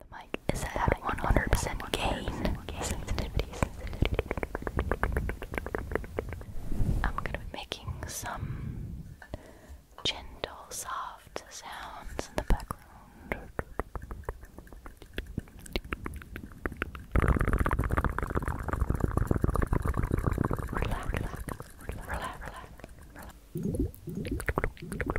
The mic is at 100% gain I'm gonna be making some gentle, soft sounds in the background. relax, relax. relax.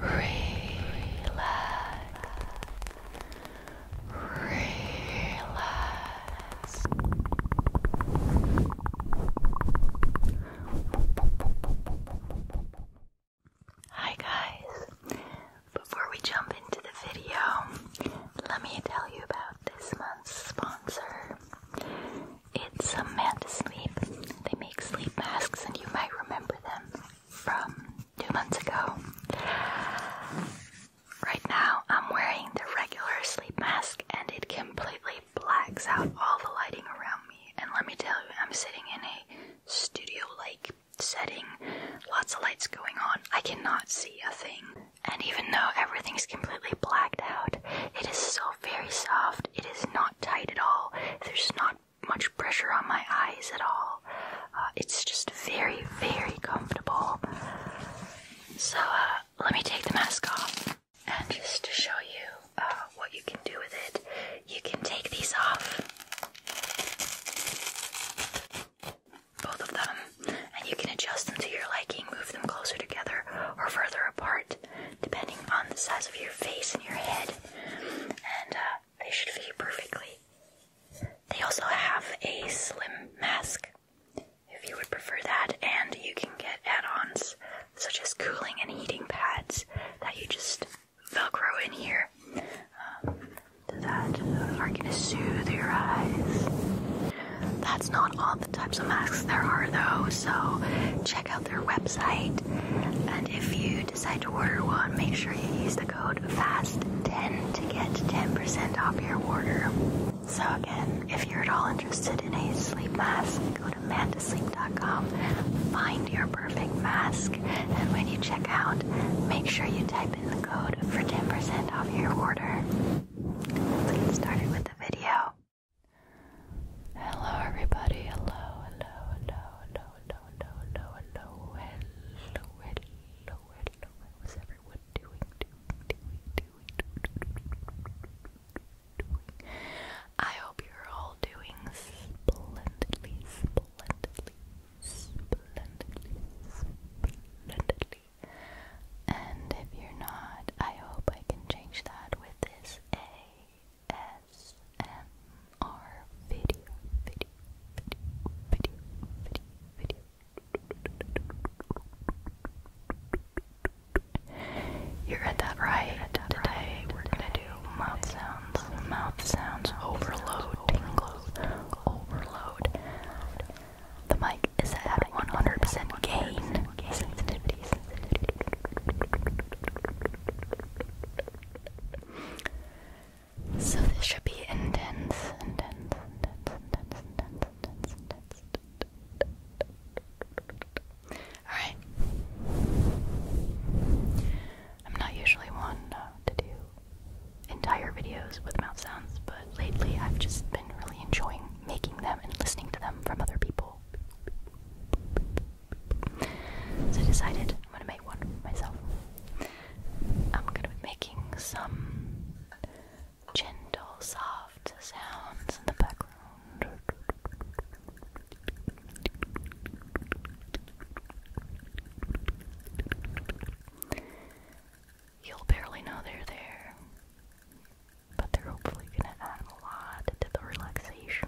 relax. Hi guys. Before we jump into the video, let me tell you about this month's sponsor. It's Samantha Sleep sleep masks, and you might remember them from two months ago. Right now, I'm wearing the regular sleep mask, and it completely blacks out all the lighting around me. And let me tell you, I'm sitting in a studio like setting, lots of lights going on. I cannot see a thing. And even though everything's completely blacked out, it is so very soft. It is not tight at all. There's not much pressure on my eyes at all. Uh, it's just very, very comfortable. So uh, let me take the mask off. And just to show you uh, what you can do with it, you can take these off, both of them, and you can adjust them to your liking, move them closer together or further apart depending on the size of your face and your head, and uh, they should fit perfectly. They also have a slim mask if you would prefer that, and you can get add ons such as cooling and heating pads that you just velcro in here um, that uh, are going to soothe your eyes. That's not all the types of masks there are, though, so check out their website. And if you decide to order one, make sure you use the code FAST10 to get 10% off your order. So again, if you're at all interested in a sleep mask, go to Mandasleep.com, find your perfect mask, and when you check out, make sure you type in the code for 10% off your order. Let's get started with the video. Hello everybody, hello, hello, hello, hello, hello, hello, hello, hello, hello, hello, hello, how is everyone doing, doing, doing, doing, doing, doing? I hope you're all doing splendidly, splendidly, splendidly, splendidly. And if you're not, I hope I can change that with this A. ASMR video, video, video, video, video, video. You read that right. You read that Today we're gonna do mouth sounds, mouth sounds, overload, tingles, overload. The mic is at 100% gain, so this should be intense, intense, intense, intense, intense, intense, intense. Alright. I'm not usually one uh, to do entire videos with mouth sounds, but lately I've just been really enjoying making them and listening to them from other people. So I decided I'm gonna make one for myself. I'm gonna be making some gentle, soft sounds in the background. You'll barely know they're there, but they're hopefully gonna add a lot to the relaxation.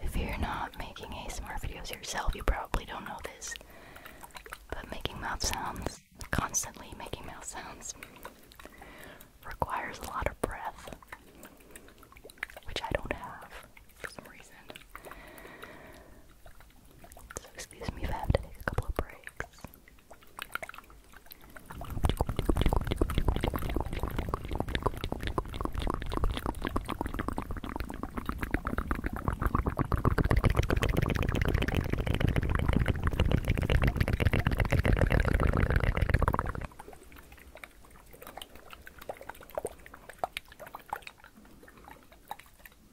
If you're not making ASMR videos yourself, you probably don't know this. But making mouth sounds, constantly making mouth sounds, requires a lot of breath, which I don't have for some reason. So excuse me if I have to take a couple of breaks.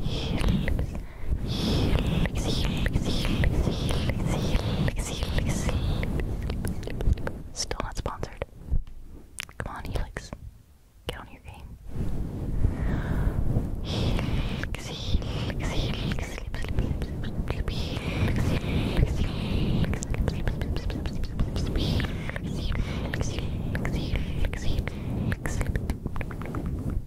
He lives Still not sponsored. Come on, Helix. Get on your game.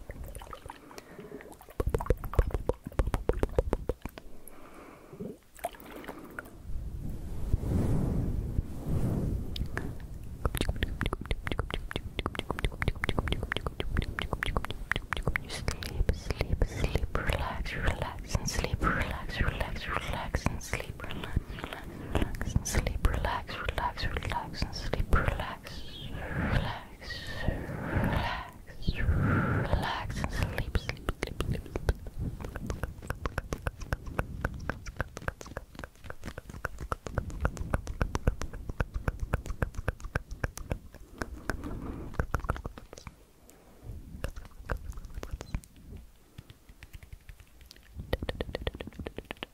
Sleep, sleep, sleep, relax, relax, and sleep, relax, relax, relax, and sleep, relax, relax, relax, and sleep, relax, relax, relax, relax, and sleep, sleep, sleep, sleep.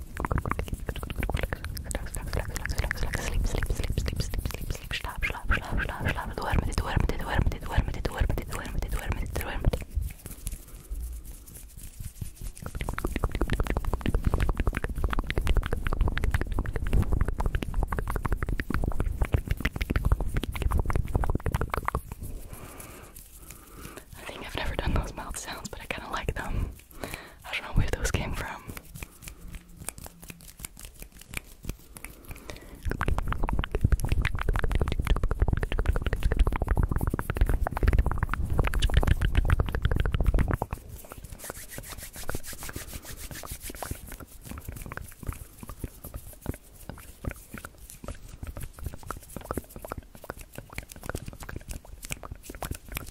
I think I've never done those mouth sounds, but I kind of like them. I don't know where those came from.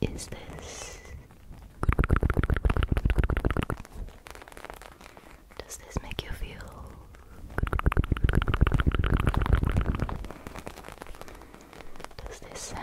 Is this Does this make you feel Does this sound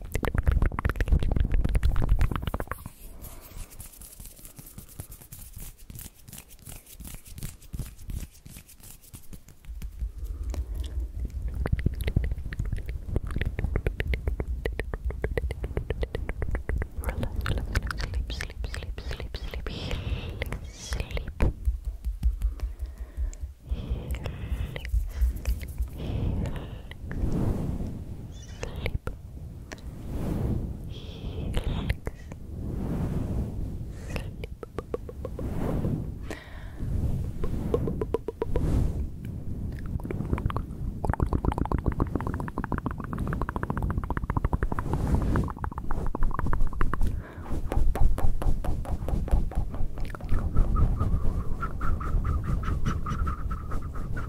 relax, sleep, sleep, sleep, sleep, healing, sleep, healing, healing sleep, helix, sleep. Sleep.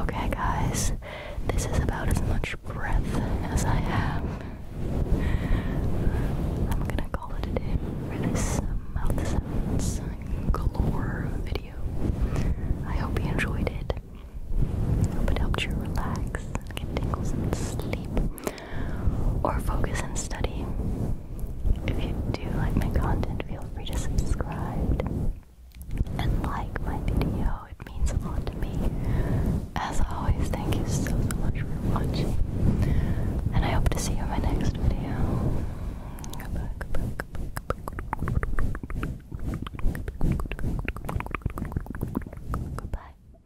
Okay, guys, this is about as much breath as I have. I'm gonna call it a day this mouth sounds galore video. I hope you enjoyed it. Hope it helped you relax, get tingles, and sleep or focus and study. If you do like my content, feel free to subscribe and like my video. It means a lot to me. As always, thank you so, so much for watching. And I hope to see you in my next video. Goodbye,